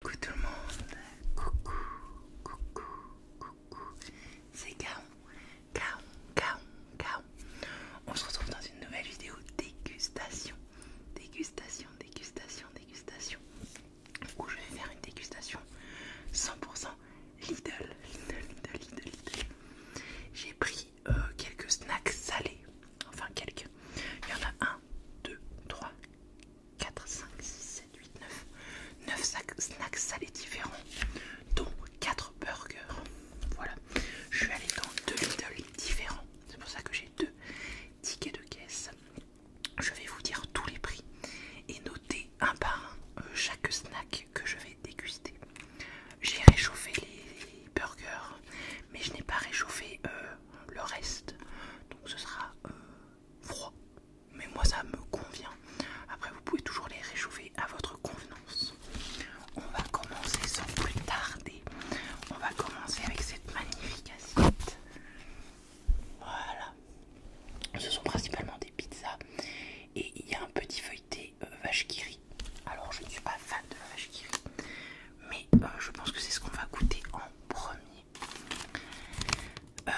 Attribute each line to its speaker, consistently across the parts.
Speaker 1: Coucou tout le monde, coucou, coucou, coucou, c'est Kaon, Kaon, Kaon, Kaon. On se retrouve dans une nouvelle vidéo dégustation, dégustation, dégustation, dégustation, où je vais faire une dégustation 100% Lidl, Lidl, Lidl, Lidl, Lidl. J'ai pris euh, quelques snacks salés, enfin quelques, il y en a un, deux, trois. 4, 5, 6, 7, 8, 9. 9 snacks salés différents, dont 4 burgers. Voilà, je suis allée dans 2 Lidl différents, c'est pour ça que j'ai 2 tickets de caisse. Je vais vous dire tous les prix et noter un par un euh, chaque snack que je vais déguster. J'ai réchauffé les burgers, mais je n'ai pas réchauffé euh, euh, le reste. Donc ce sera euh, froid. Mais moi ça me convient. Après vous pouvez toujours les réchauffer à votre convenance. On va commencer sans plus tarder. On va commencer avec cette magnifique assiette. Voilà. Ce sont principalement des pizzas. Et il y a un petit feuilleté euh, vache qui Alors je ne suis pas fan de la vache qui rit. Mais je pense que c'est ce qu'on va goûter en premier. Euh,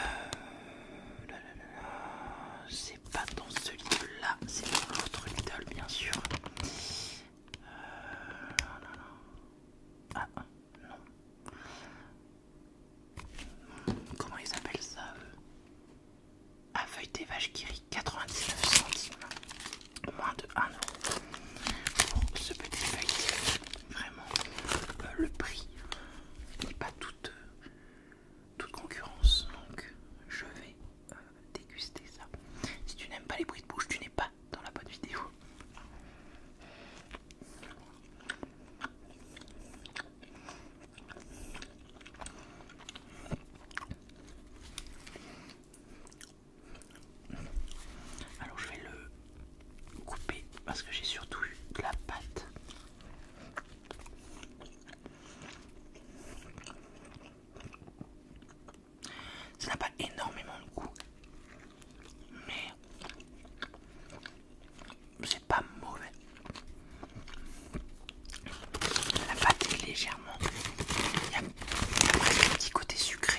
Speaker 1: c'est pas dans ce livre là, c'est dans l'autre Lidl bien sûr. Euh, ah, ah, ah non. Comment ils appellent ça Ah des vaches qui rit 99 centimes. Moins de 1 euro pour oh, ce petit Vraiment, euh, le prix n'est pas toute, euh, toute concurrence, donc je vais euh, déguster ça. Si tu n'aimes pas les bruits de bouche, tu n'es pas dans la bonne vidéo. Alors je vais le couper parce que j'ai surtout eu de la pâte. Ça n'a pas énormément de goût, mais c'est pas mauvais. La pâte est légèrement. Il y, a, un petit côté sucré.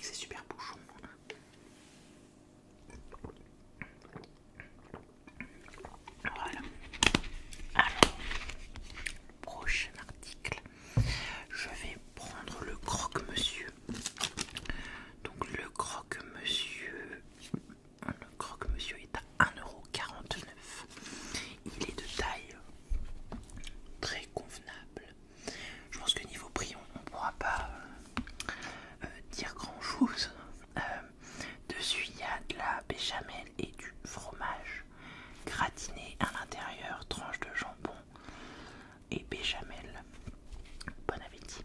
Speaker 1: C'est super bouchons. Voilà. Alors, prochain article. Je vais prendre le croque-monsieur. Donc le croque-monsieur. Le croque-monsieur est à 1,49€. Il est de taille très convenable. Je pense que niveau prix, on ne pourra pas euh, euh, dire grand chose. Euh, dessus, il y a de la béchamel et du fromage gratiné à l'intérieur, tranche de jambon et béchamel. Bon appétit.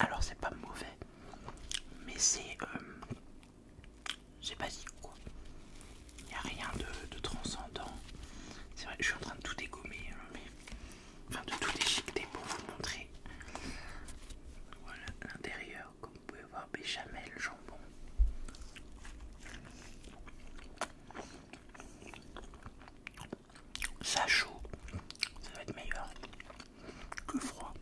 Speaker 1: Alors c'est pas mauvais, mais c'est... j'ai euh, c'est basique quoi. Il n'y a rien de, transcendant. C'est vrai, que je suis en train de tout dégommer, hein, mais enfin de tout déchiqueter pour vous montrer. l'intérieur, comme vous pouvez voir, béchamel, jambon. Ça chaud, ça va être meilleur que froid.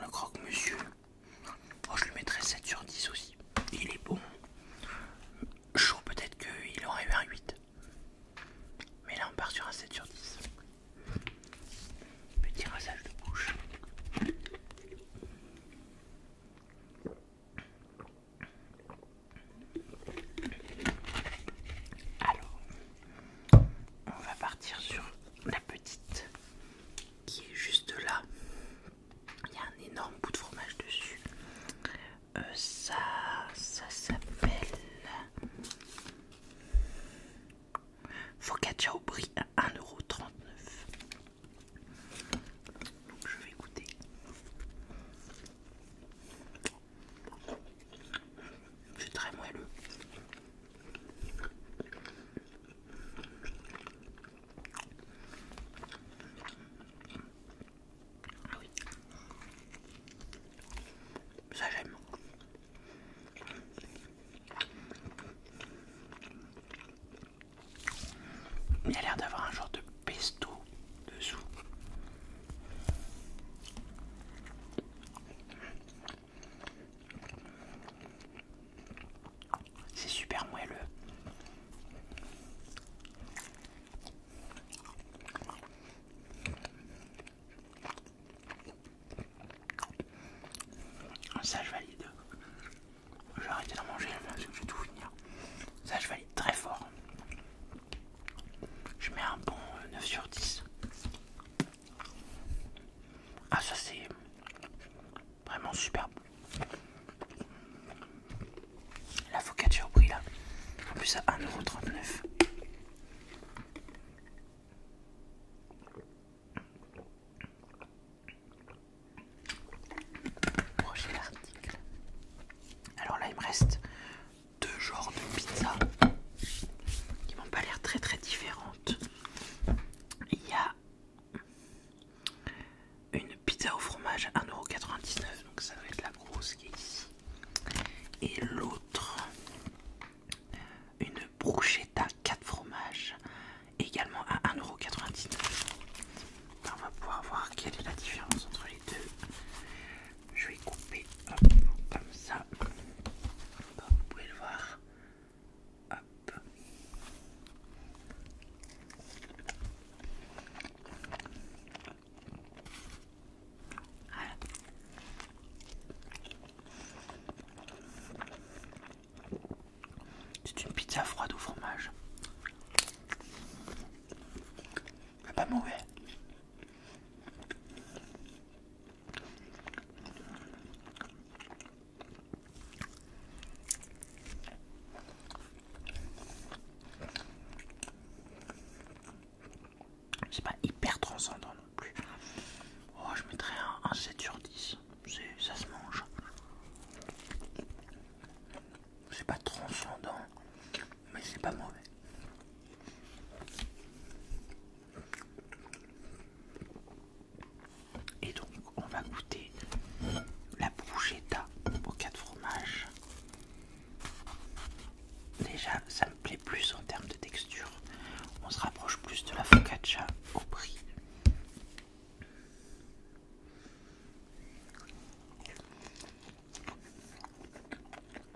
Speaker 1: Le croque-monsieur Bon oh, je le mettrais 7 sur 10 aussi. Il est bon. Chaud, peut-être qu'il aurait eu un 8. Mais là, on part sur un 7 sur 10. Petit rasage de bouche. Alors, on va partir sur la petite qui est juste là. Il y a un énorme bout de fromage dessus. Euh, ça, ça s'appelle focaccia au prix à 1,39€. Donc je vais goûter. C'est très moelleux. Ah Ça j'aime. Il a l'air d'avoir un genre de pesto dessous. C'est super moelleux. Ça je valide. Je vais arrêter de manger parce que je vais tout finir. Ça je valide très fort. Je mets un bon 9 euh, sur 10. Ah ça c'est vraiment superbe. La focaccia au prix là. En plus à 1,39€. Prochain article. Alors là il me reste deux genres de pizza qui m'ont pas l'air très très différentes. Il y a une pizza au fromage à 1,99€, donc ça va être la grosse qui est ici. Et l'autre, une à 4 fromages, également à 1,99€. Ben, on va pouvoir voir quelle est la différence entre les deux. Je vais couper comme ça, vous pouvez le voir. C'est une pizza froide au fromage. Pas mauvais. C'est pas hyper transcendant non plus. Oh, je mettrais un, 7 sur 10. Ça se mange. C'est pas transcendant, mais c'est pas mauvais. Et donc on va goûter la bruschetta aux quatre fromage. Déjà ça me plaît plus en termes de texture. On se rapproche plus de la focaccia au prix.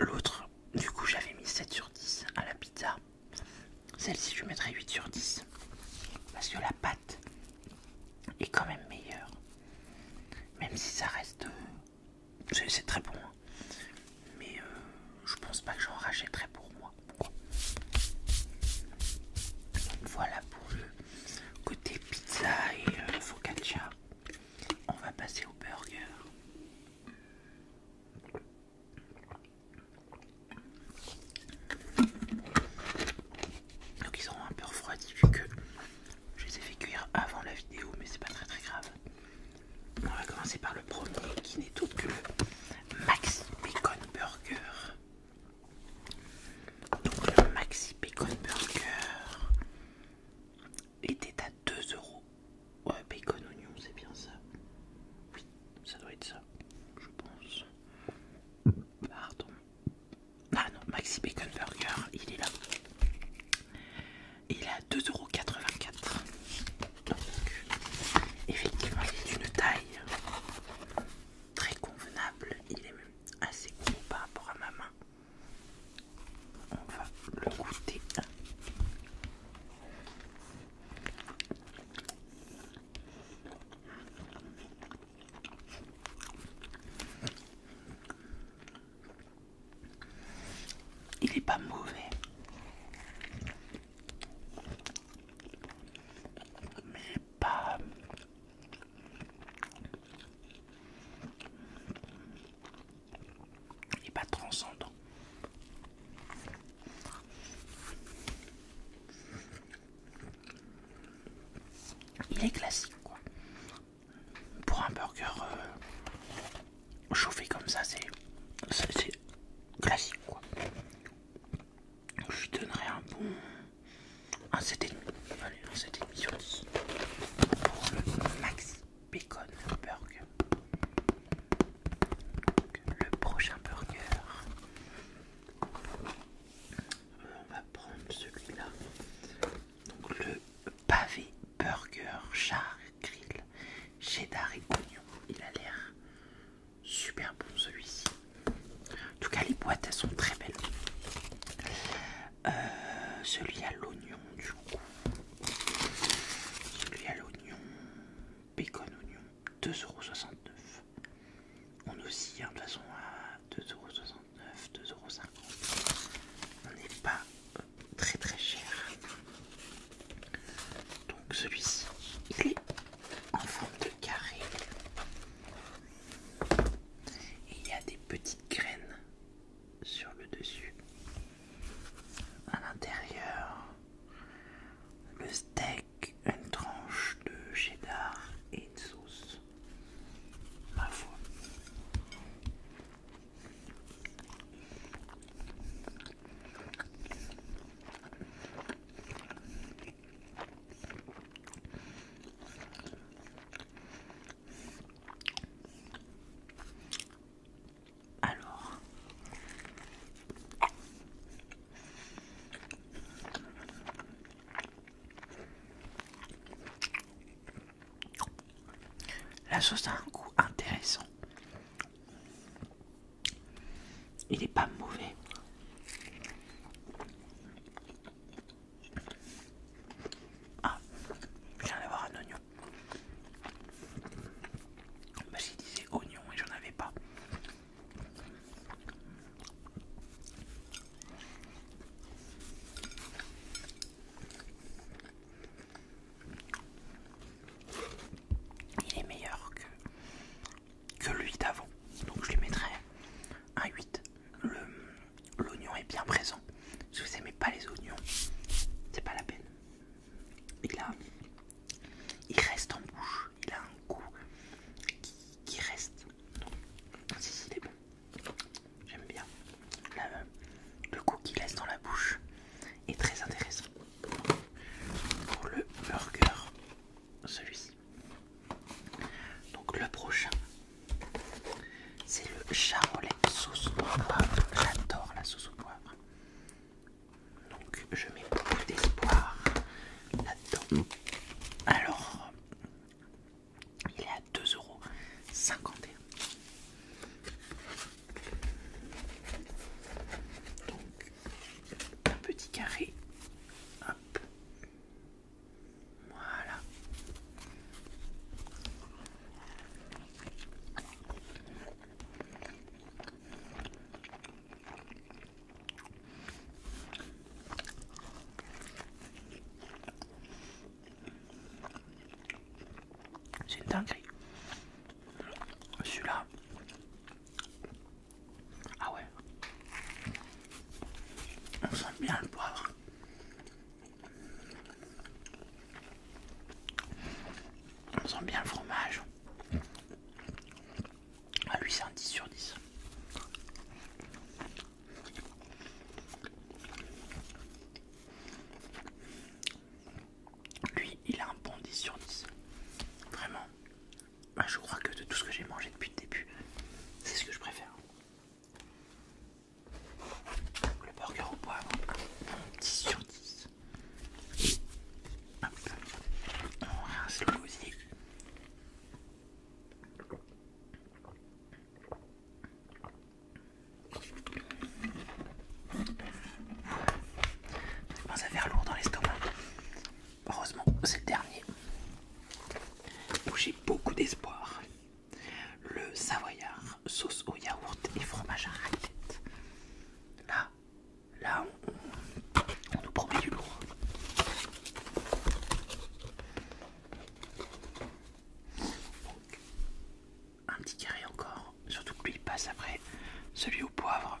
Speaker 1: L'autre, du coup, j'avais mis 7 sur 10 à la pizza. Celle-ci, je mettrais 8 sur 10. Parce que la pâte est quand même meilleur. Même si ça reste... Euh, c'est très bon. Hein. Mais euh, je pense pas que j'en rachèterai pour moi. Voilà pour le côté pizza et euh, focaccia. On va passer au burger. Donc ils auront un peu refroidi vu que je les ai fait cuire avant la vidéo, mais c'est pas très très grave. On va commencer par le premier qui n'est autre que le Maxi Bacon Burger. Donc le Maxi Bacon Burger était à 2 euros. Ouais, bacon oignon, c'est bien ça. Oui, ça doit être ça, je pense. Pardon. Ah non, Maxi Bacon Burger, il est là. Il est à 2,84€. Donc, effectivement, il est d'une taille très convenable. Il est même assez gros par rapport à ma main. On va le goûter. Il est pas mauvais. Mais pas... Il n'est pas transcendant. Il est classique quoi. Pour un burger euh, chauffé comme ça, c'est classique quoi. Je lui donnerai un bon. un 7,5. Allez, un Pour le Max Bacon Burger. le prochain burger on va prendre celui-là. Donc le pavé burger char grill cheddar et oignon. Il a l'air super bon celui-ci. En tout cas les boîtes elles sont très belles. Euh, celui à l'oignon du coup. Celui à l'oignon. Bacon oignon 2,69€. On aussi hein, de toute façon 2,69€, 2,50€. On n'est pas très très cher. Donc celui-ci, il est en forme de carré. Et il y a des petites graines sur le dessus. À l'intérieur, le steak une tranche de cheddar et de sauce. Alors, la sauce a un goût intéressant. Il n'est pas mauvais. Ah, je viens d'avoir un oignon. Bah, J'y disait oignon et j'en avais pas. Il est meilleur que, que lui d'avant, donc je lui mettrai un 8. L'oignon est bien présent. Si vous n'aimez pas les oignons, c'est pas la peine. Il, a, il reste en bouche, il a un goût qui reste. Si, si, bon. J'aime bien. Euh, le goût qu'il laisse dans la bouche est très intéressant. Pour le burger, celui-ci. Donc le prochain, c'est le charolais sauce au poivre. J'adore la sauce au poivre. Donc je mets beaucoup d'espoir là-dedans. Alors, il est à 2,51€. Donc, un petit carré. Hop. Voilà. C'est une je Celui-là. Ah ouais. On sent bien le poivre. On sent bien le fromage. Ah, lui, c'est un 10 sur 10. Lui, il a un bon 10 sur 10. Vraiment. Bah, je crois que de tout ce que j'ai mangé depuis le début, c'est ce que je préfère. Le burger au poivre, 10 sur 10. Hop. On ça commence à faire lourd dans l'estomac. Heureusement, c'est le dernier j'ai beaucoup d'espoir. Le savoyard, sauce au yaourt et fromage à raclette là on, nous promet du lourd. un petit carré encore, surtout que lui passe après celui au poivre. Euh,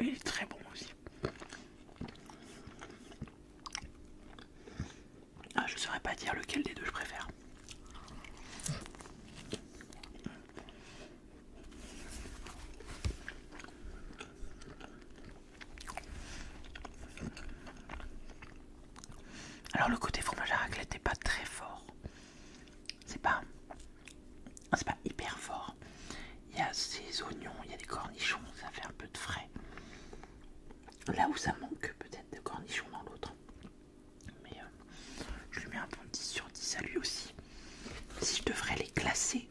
Speaker 1: il est très bon aussi. Ah, je saurais pas dire lequel des deux je préfère. Alors le côté fromage à raclette n'est pas très fort. C'est pas, c'est pas hyper fort. Il y a ces oignons, il y a des cornichons, ça fait un peu de frais. Là où ça manque peut-être de cornichons dans l'autre. Mais euh, je lui mets un bon 10 sur 10 à lui aussi. Si je devrais les classer,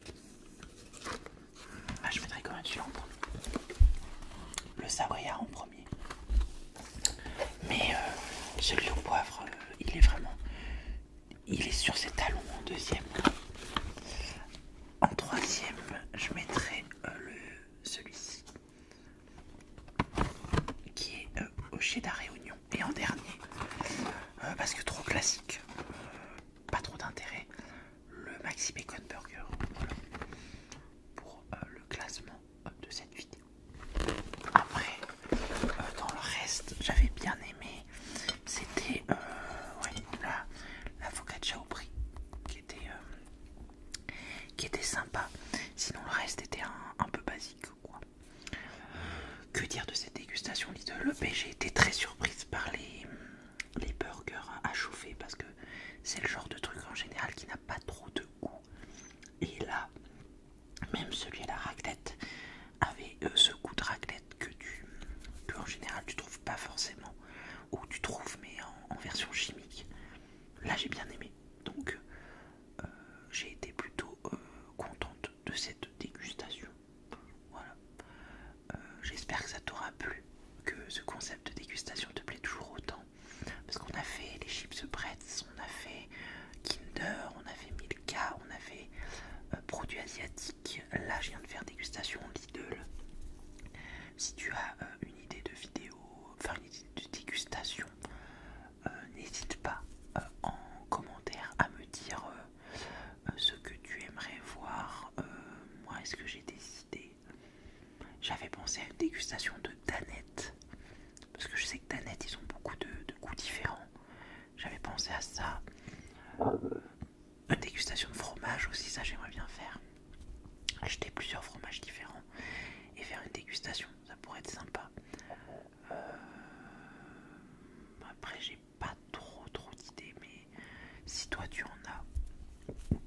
Speaker 1: bah, je mettrais quand même celui en premier. Le savoyard en premier. Mais euh, celui au poivre, euh, il est vraiment... Il est sur ses talons en deuxième. En troisième, je mettrai euh, celui-ci qui est au chez et réunion Et en dernier, parce que trop classique, pas trop d'intérêt, le Maxi Bacon Burger pour euh, le classement euh, de cette vidéo. Après, euh, dans le reste, j'avais bien aimé, c'était la, focaccia au prix qui était, qui était sympa. Sinon, le reste était un, peu basique. Quoi. Que dire de cette dégustation Lidl J'ai été très surprise par les, les burgers à chauffer parce que c'est le genre de truc en général qui n'a pas trop de goût. Et là, même celui à la raclette avait euh, ce goût de raclette que tu, en général tu trouves pas forcément, ou tu trouves mais en, version chimique. Là, j'ai bien aimé, donc euh, j'ai été plutôt euh, contente de cette dégustation. Voilà. J'espère que ça t'aura plu, que ce concept de dégustation te plaît toujours autant. Parce qu'on a fait les chips Pretz, on a fait Kinder, on a fait Milka, on a fait euh, produits asiatiques. Là, je viens de faire dégustation Lidl. Si tu as euh, une idée de vidéo, enfin une idée de dégustation, euh, n'hésite pas en commentaire à me dire ce que tu aimerais voir. moi, est-ce que j'ai des idées j'avais pensé à une dégustation de Danette. Parce que je sais que Danette, ils ont beaucoup de, de goûts différents. J'avais pensé à ça. Une dégustation de fromage aussi, ça j'aimerais bien faire. Acheter plusieurs fromages différents et faire une dégustation, ça pourrait être sympa. Euh, après, j'ai pas trop trop d'idées, mais si toi tu en as,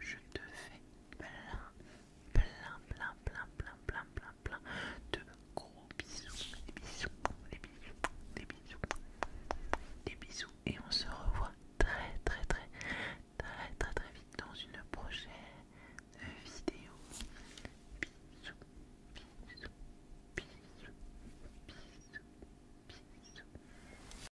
Speaker 1: je te fais plein, plein, plein, plein, plein, plein, plein, plein de gros bisous, des bisous, des bisous, des bisous, des bisous, et on se revoit très, très, très, très, très, très vite dans une prochaine vidéo. Bisous, bisous, bisous, bisous, bisous.